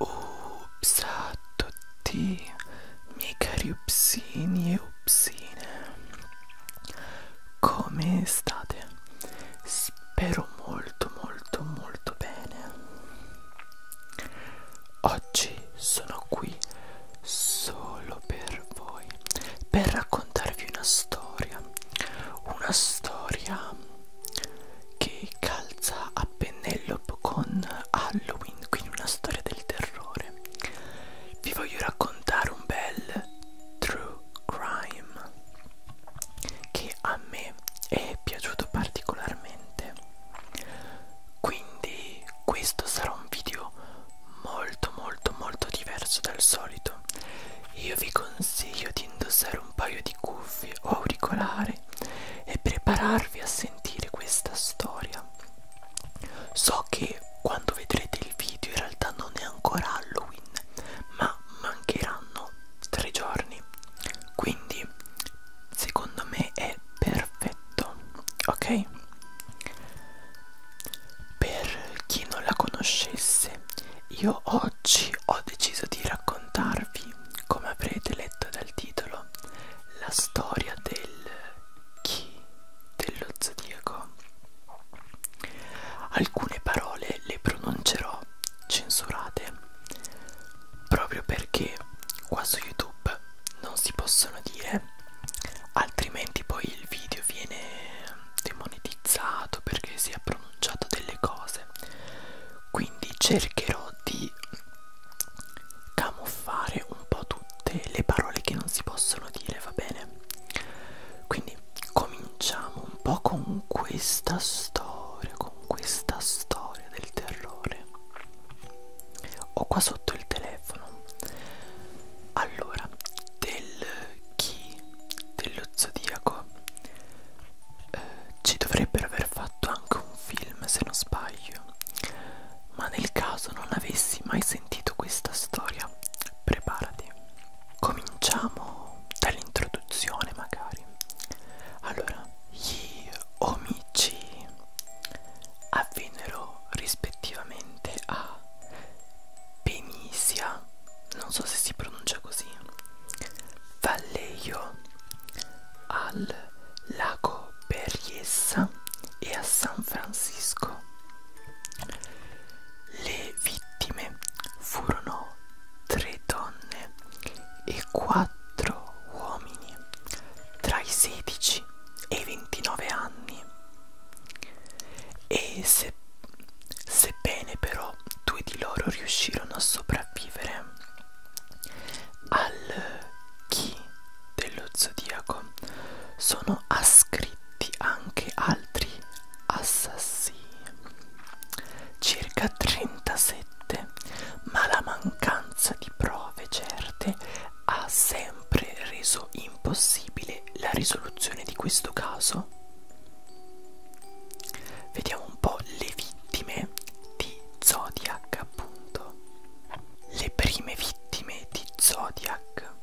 Ups a tutti, miei cari upsini e upsine, come state? Spero molto molto molto bene. Oggi sono qui solo per voi, per raccontare raccontarvi una storia, una storia che calza a pennello con Halloween, quindi una storia del terrore. Vi voglio raccontare un bel true crime che a me è piaciuto particolarmente. Quindi questo sarà un video molto molto molto diverso dal solito io vi consiglio di indossare un paio di cuffie o auricolari e prepararvi a sentire questa storia so che quando vedrete il video in realtà non è ancora Halloween ma mancheranno tre giorni quindi secondo me è perfetto ok per chi non la conoscesse, io oggi ho deciso di raccontarvi, come avrete letto dal titolo, la storia del chi dello zodiaco. Alcune parole le pronuncerò censurate proprio perché qua su YouTube non si possono dire altrimenti poi il video viene demonetizzato perché si è pronunciato delle cose quindi cercherò di camuffare un po' tutte le parole che non si possono dire va bene quindi cominciamo un po' con questa storia con questa storia del terrore ho qua sotto il telefono allora del chi dello zodiaco eh, ci dovrebbero aver fatto anche un film se non sbaglio ma nel caso non avessi mai sentito questa storia preparati cominciamo dall'introduzione magari allora gli omicidi avvennero rispettivamente a Penisia, non so se si pronuncia così, Vallejo, al lago Berriessa e a San Francisco. Le vittime furono tre donne e quattro uomini tra i 16 e i 29 anni e se, sebbene però due di loro riuscirono a sopravvivere al chi dello zodiaco, sono ascritti anche altri assassini, circa 37, ma la mancanza di prove certe ha sempre reso impossibile la risoluzione di questo caso? Vediamo un po' le vittime di Zodiac, appunto. Le prime vittime di Zodiac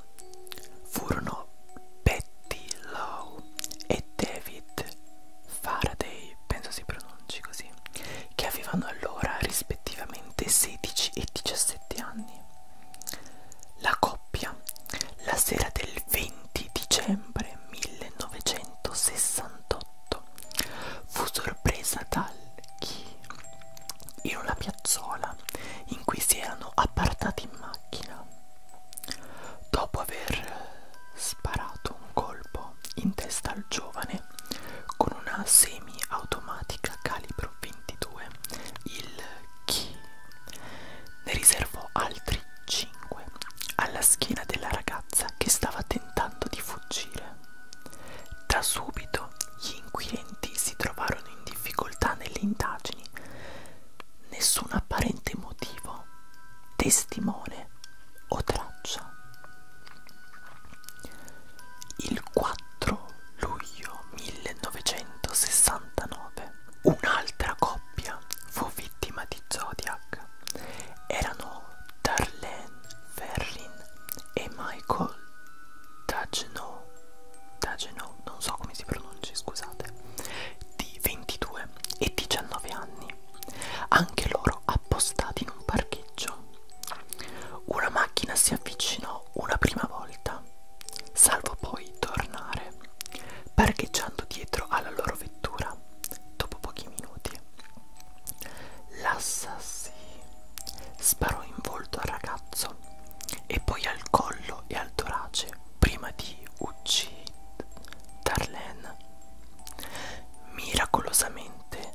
furono Betty Lowe e David Faraday, penso si pronunci così, che avevano allora rispettivamente 16 e 17 anni. La coppia, la sera del 20 dicembre 1968, fu sorpresa dal chi in una piazzola in cui si erano appartati in macchina. Dopo aver sparato un colpo in testa al giovane con una semi-automatica calibro 22, 2022 il Chi ne riservò altri 5 alla schiena della ragazza che stava tentando di fuggire. Da subito gli inquirenti si trovarono in difficoltà nelle indagini. Nessun apparente motivo, testimone o traccia. Il 4 luglio 1969. Un'altra coppia fu vittima di Zodiac. Erano Darlene Ferrin e Michael Dagenot. Dagenot, non so come si pronunci, scusate. Di 22 e 19 anni. Anche loro appostati in un parcheggio. Una macchina si avvicinò una prima volta, salvo poi tornare, parcheggiando dietro alla loro vettura dopo pochi minuti. L'assassi sparò in volto al ragazzo e poi al collo e al torace prima di uccidere Darlene. Miracolosamente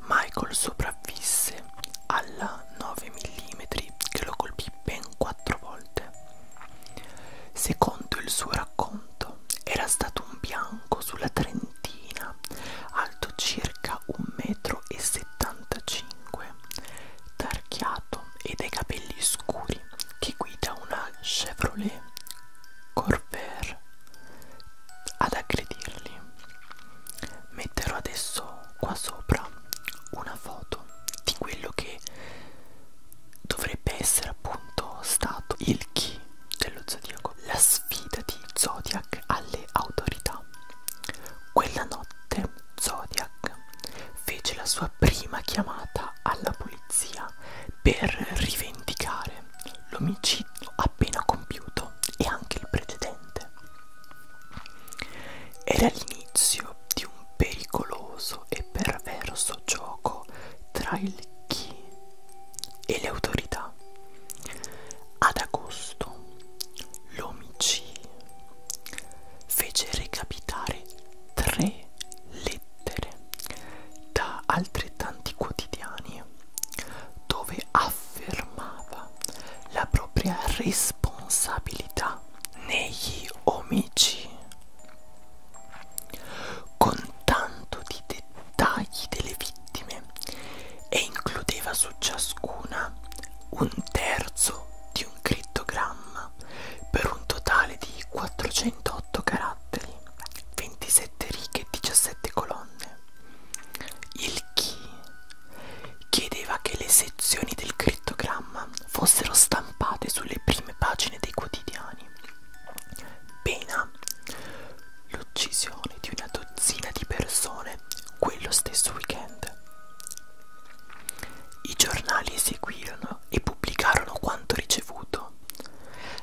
Michael sopravvisse sopravvisse alla 9 mm che lo colpì ben quattro volte. Secondo il suo racconto era stato un bianco sulla trentina, alto circa 1,75 m, tarchiato e dai capelli scuri, che guida una Chevrolet Corvair ad aggredirli metterò adesso qua sopra una foto di quello che dovrebbe essere appunto stato il chi dello zodiaco, la sfida di Zodiac alle autorità. Quella notte Zodiac fece la sua prima chiamata alla polizia per rivendicare l'omicidio appena compiuto e anche il precedente. Era l'inizio di un pericoloso e perverso gioco tra il chi e le autorità. Ad agosto l'omicì fece recapitare tre lettere da altrettanti quotidiani dove affermava la propria responsabilità negli omicidi con tanto di dettagli delle vittime e includeva su ciascuna un terzo di un crittogramma per un totale di 408 caratteri, 27 righe e 17 colonne. Il Chi chiedeva che le sezioni del crittogramma fossero stampate sulle prime pagine dei quotidiani. Pena l'uccisione di una dozzina di persone quello stesso weekend. I giornali eseguirono e pubblicarono quanto ricevuto.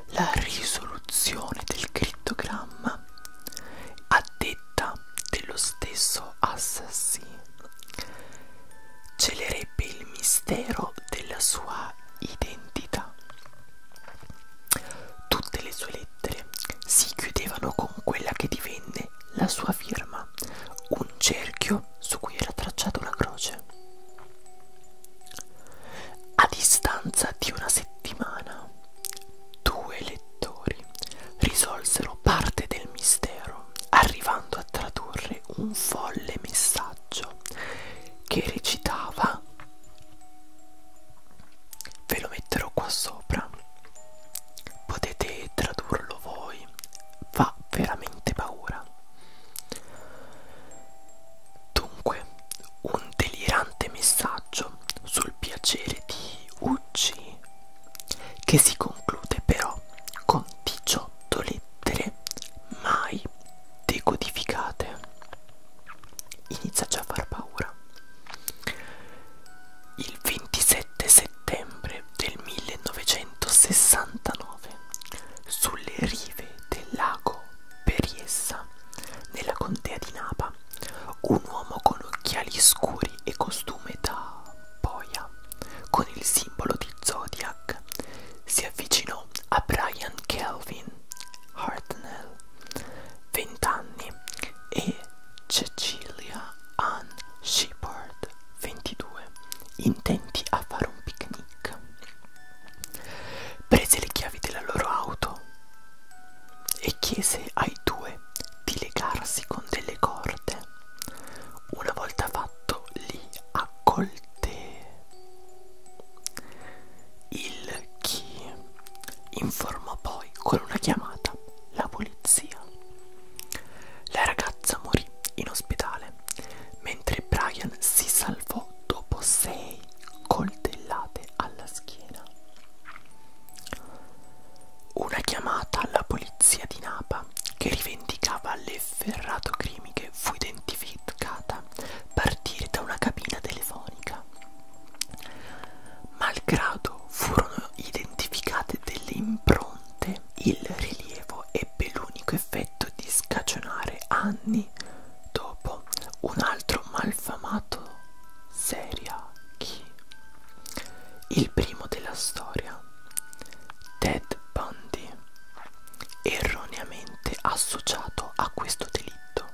La risoluzione del crittogramma pittogramma a detta dello stesso assassino celerebbe il mistero della sua identità tutte le sue lettere si chiudevano con quella che divenne la sua firma un cerchio su cui era tracciata una croce a distanza di una settimana due lettori risolsero parte del mistero arrivando a tradurre un folle messaggio che recitava ve lo metterò qua sopra potete tradurlo voi fa veramente paura dunque un delirante messaggio sul piacere di Ucci, che si conclude però con 18 lettere mai decodificate. Inizia già a far paura. Il 27 settembre del 1969, sulle rive del lago Periessa, nella contea di Napa, un uomo con occhiali scuri e costume da boia con il simbolo di Zodiac si avvicinò a Brian Kelvin Hartnell, 20 anni, e Cecilia Ann Shepard, 22, intenti a fare un picnic. Prese le chiavi della loro auto e chiese ai due di legarsi con delle corde. Una volta fatto li accolte. Il chi informò poi con una chiamata la polizia. La ragazza morì in ospedale mentre Brian si salvò dopo sei coltellate alla schiena. Una chiamata alla polizia di Napa, che rivendicava l'efferrato crimiche, fu identificata partire da una cabina telefonica. Malgrado furono identificate delle impronte, il rilievo ebbe l'unico effetto di scagionare anni dopo un altro malfamato Seria Key, il primo della storia, Ted Bundy, erroneamente associato a questo delitto.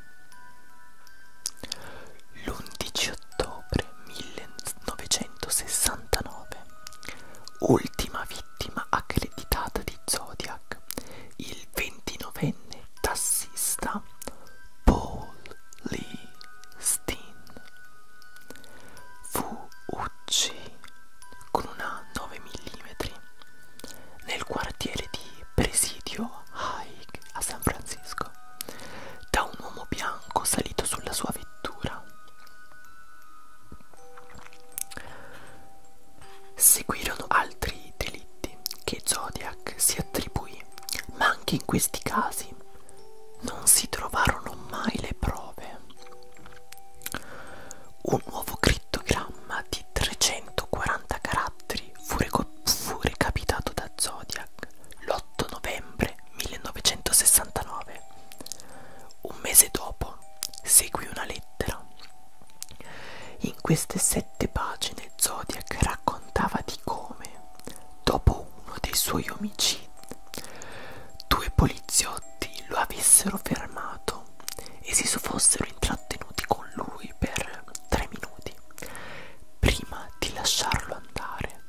L'11 ottobre 1969, ultima vittima accreditata di Zodiac, il 29enne tassista Paul Lee fu ucciso con una 9 mm nel quartiere di Presidio Hike a San Francisco da un uomo bianco salito sulla sua vettura. Seguirono altri delitti che Zodiac si attribuì, ma anche in questi casi non si trovarono mai le prove. Un nuovo crittogramma di 340 caratteri fu, fu recapitato da Zodiac l'8 novembre 1969. Un mese dopo seguì una lettera in queste sette pagine Zodiac raccontava di come, dopo uno dei suoi omicidi, due poliziotti lo avessero fermato e si fossero intrattenuti con lui per tre minuti prima di lasciarlo andare.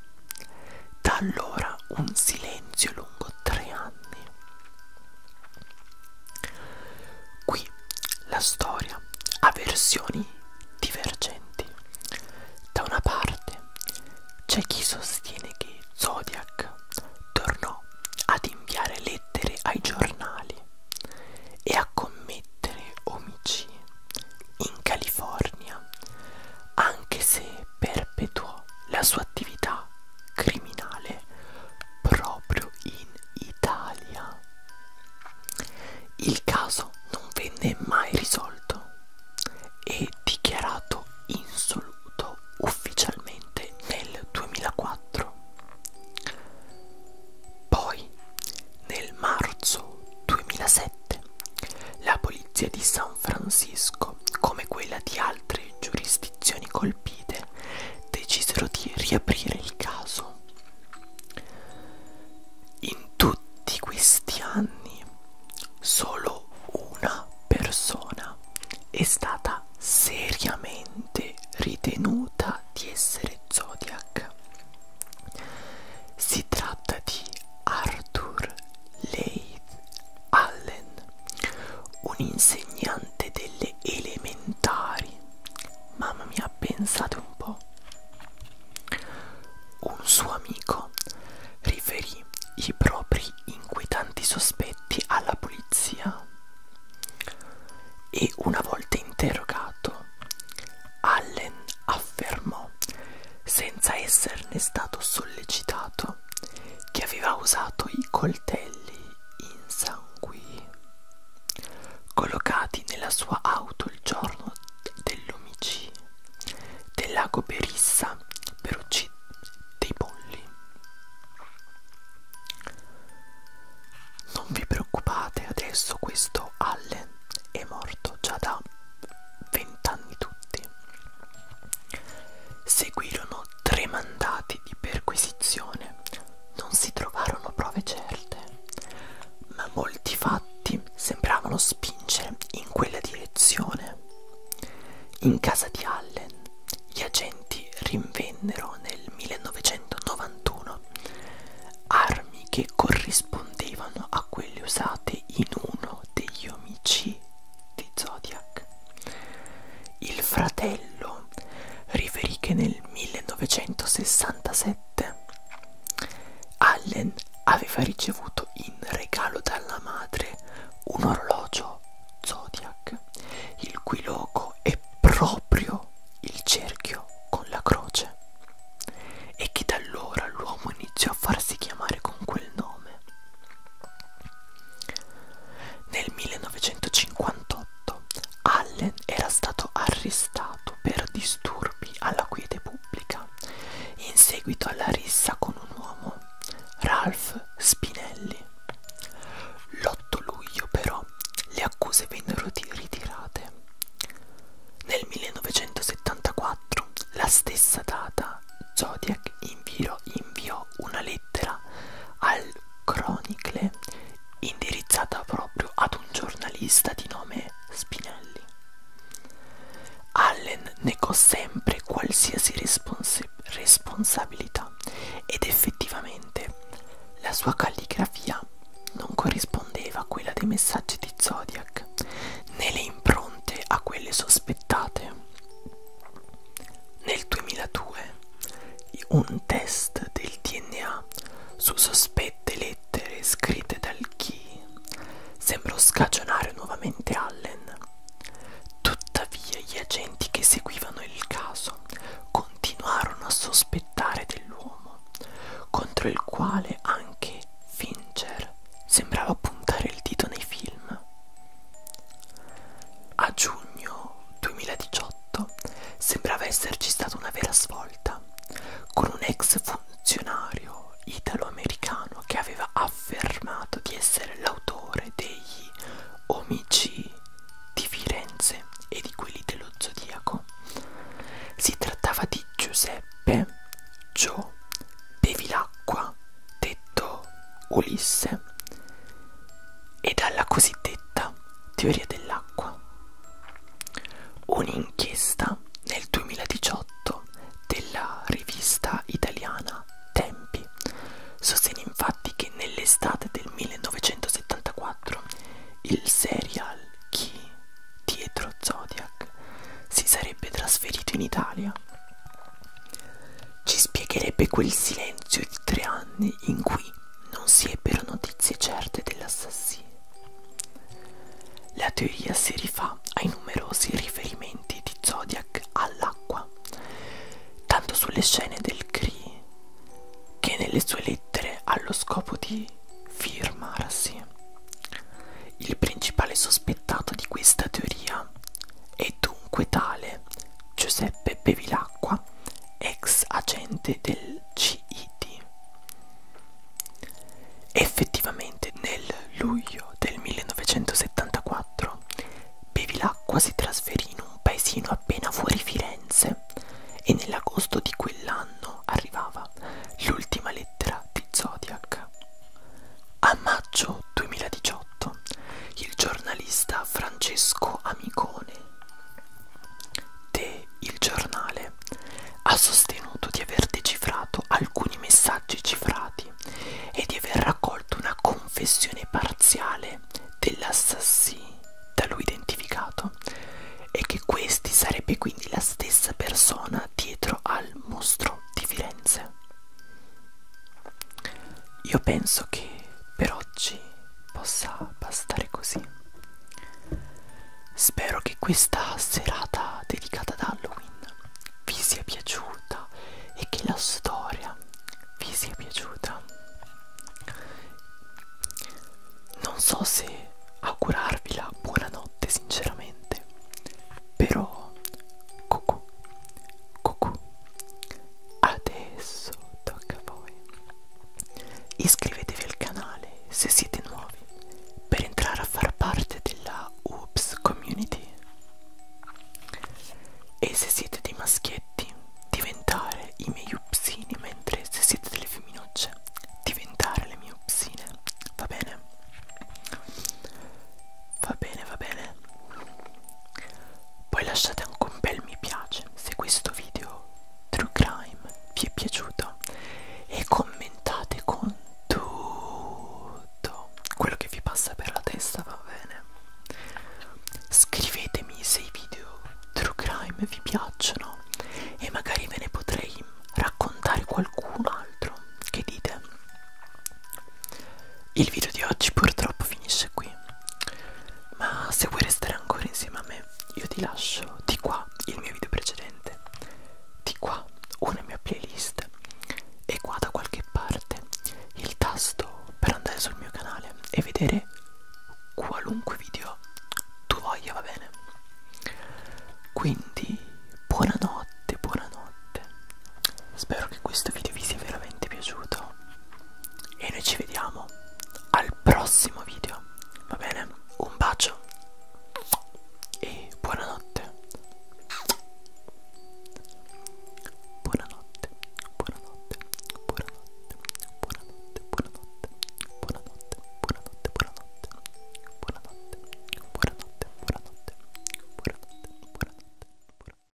Da allora un silenzio lungo tre anni. Qui la storia ha versioni divergenti. Da una parte c'è chi sostiene che Zodiac tornò ad inviare lettere ai giornali e a commettere omicidi in California, anche se perpetuò la sua attività criminale proprio in Italia. Il caso non venne mai risolto e dichiarato insoluto ufficialmente nel 2004. Poi, nel marzo 2007, la polizia di San Francisco, come quella di altre giurisdizioni colpite, decisero di riaprire il caso in tutti questi anni solo una persona è stata seriamente ritenuta di essere Zodiac. Si tratta di Arthur Leith Allen, un insegnante delle elementari Mamma mia, pensate un po'. Un suo amico riferì i propri inquietanti sospetti alla polizia e una volta interrogato Allen affermò senza esserne stato sollecitato che aveva usato i coltelli insanguì collocati nella sua auto il giorno dell'omicidio del lago Berissa per uccidere dei polli. Non vi preoccupate, adesso questo Allen è morto già da vent'anni tutti. Seguirono tre mandati di perquisizione non si trovarono prove certe, ma molti fatti sembravano spingere in quella direzione. In casa di Allen gli agenti rinvennero nel 1991 armi che corrispondevano a quelle usate in uno degli omicidi di Zodiac. Il fratello riferì che nel 1967 Allen aveva ricevuto in regalo dalla madre un orologio Zodiac, il cui logo è proprio il cerchio con la croce, e che da allora l'uomo iniziò a farsi chiamare con quel nome. Nel 1958 Allen era stato arrestato per disturbi alla quiete pubblica in seguito alla rissa con un uomo, Ralph Spinelli. L'8 luglio però le accuse vennero ritirate. Nel 1974, la stessa data, Zodiac inviò una lettera al Chronicle indirizzata proprio ad un giornalista di nome Spinelli. Allen negò sempre qualsiasi respons responsabilità ed effettivamente la sua calligrafia non corrispondeva a quella dei messaggi di Zodiac né le impronte a quelle sospettate. Nel 2002 un test del DNA su sospette lettere scritte dal Key sembrò scagionare nuovamente Allen. Tuttavia gli agenti che seguivano il caso continuarono a sospettare dell'uomo, contro il quale anche Fincher sembrava puntare il dito nei film. A giugno 2018 sembrava esserci stata una vera svolta, con un ex funzionario italo-americano che aveva affermato di essere l'autore degli omicidi di Firenze e di quelli dello Zodiaco. Si trattava di Giuseppe Gio Bevilacqua, detto Ulisse, e dalla cosiddetta teoria dell'acqua. Un'inchiesta nel 2018 della rivista italiana Tempi sostiene infatti che nell'estate del 1974 il serial Chi dietro Zodiac si sarebbe trasferito in Italia ci spiegherebbe quel silenzio di tre anni in cui non si ebbero notizie certe dell'assassino. La teoria si rifà ai numerosi riferimenti di Zodiac all'acqua, tanto sulle scene del CRI che nelle sue lettere allo scopo di firmarsi. Il principale sospettato di questa teoria è dunque tale Giuseppe Bevilacqua, ex agente del CID. Effettivamente nel luglio del 1974 Bevilacqua si trasferì in un paesino appena fuori Firenze e nell'agosto di quell'anno arrivava l'ultima lettera di Zodiac. A maggio 2018 1998 il giornalista Francesco Amicone de Il Giornale ha sostenuto di aver decifrato alcuni messaggi cifrati e di aver raccolto una confessione parziale dell'assassino da lui identificato e che questi sarebbe quindi la stessa persona dietro al mostro di Firenze. Io penso che per oggi possa bastare così. Spero che questa serata dedicata ad Halloween vi sia piaciuta e che la storia vi sia piaciuta. Non so se augurarvi la buonanotte sinceramente, però cucù, cucù, Adesso tocca a voi. Iscrivetevi al canale se siete nuovi per entrare a far parte della Oops Community e se siete dei maschietti diventare i miei upsini mentre se siete delle femminucce diventare le mie upsine va bene va bene va bene poi lasciate anche un bel mi piace se questo video True Crime vi è piaciuto e commentate con tutto quello che vi passa per la testa, va bene? Scrivetemi se i video True Crime vi piacciono e magari ve ne potrei raccontare qualcun altro che dite il video di oggi purtroppo finisce qui, ma se vuoi restare ancora insieme a me, io ti lascio di qua il mio video precedente, di qua una mia playlist e qua da qualche parte il tasto per andare sul mio canale e vedere qualunque video tu voglia, va bene? Quindi buonanotte, buonanotte. Spero che questo video vi sia veramente piaciuto e noi ci vediamo al prossimo video, va bene? Un bacio e buonanotte. Buonanotte, buonanotte, buonanotte, buonanotte, buonanotte, buonanotte, buonanotte, buonanotte, buonanotte, buonanotte, buonanotte, buonanotte, buonanotte.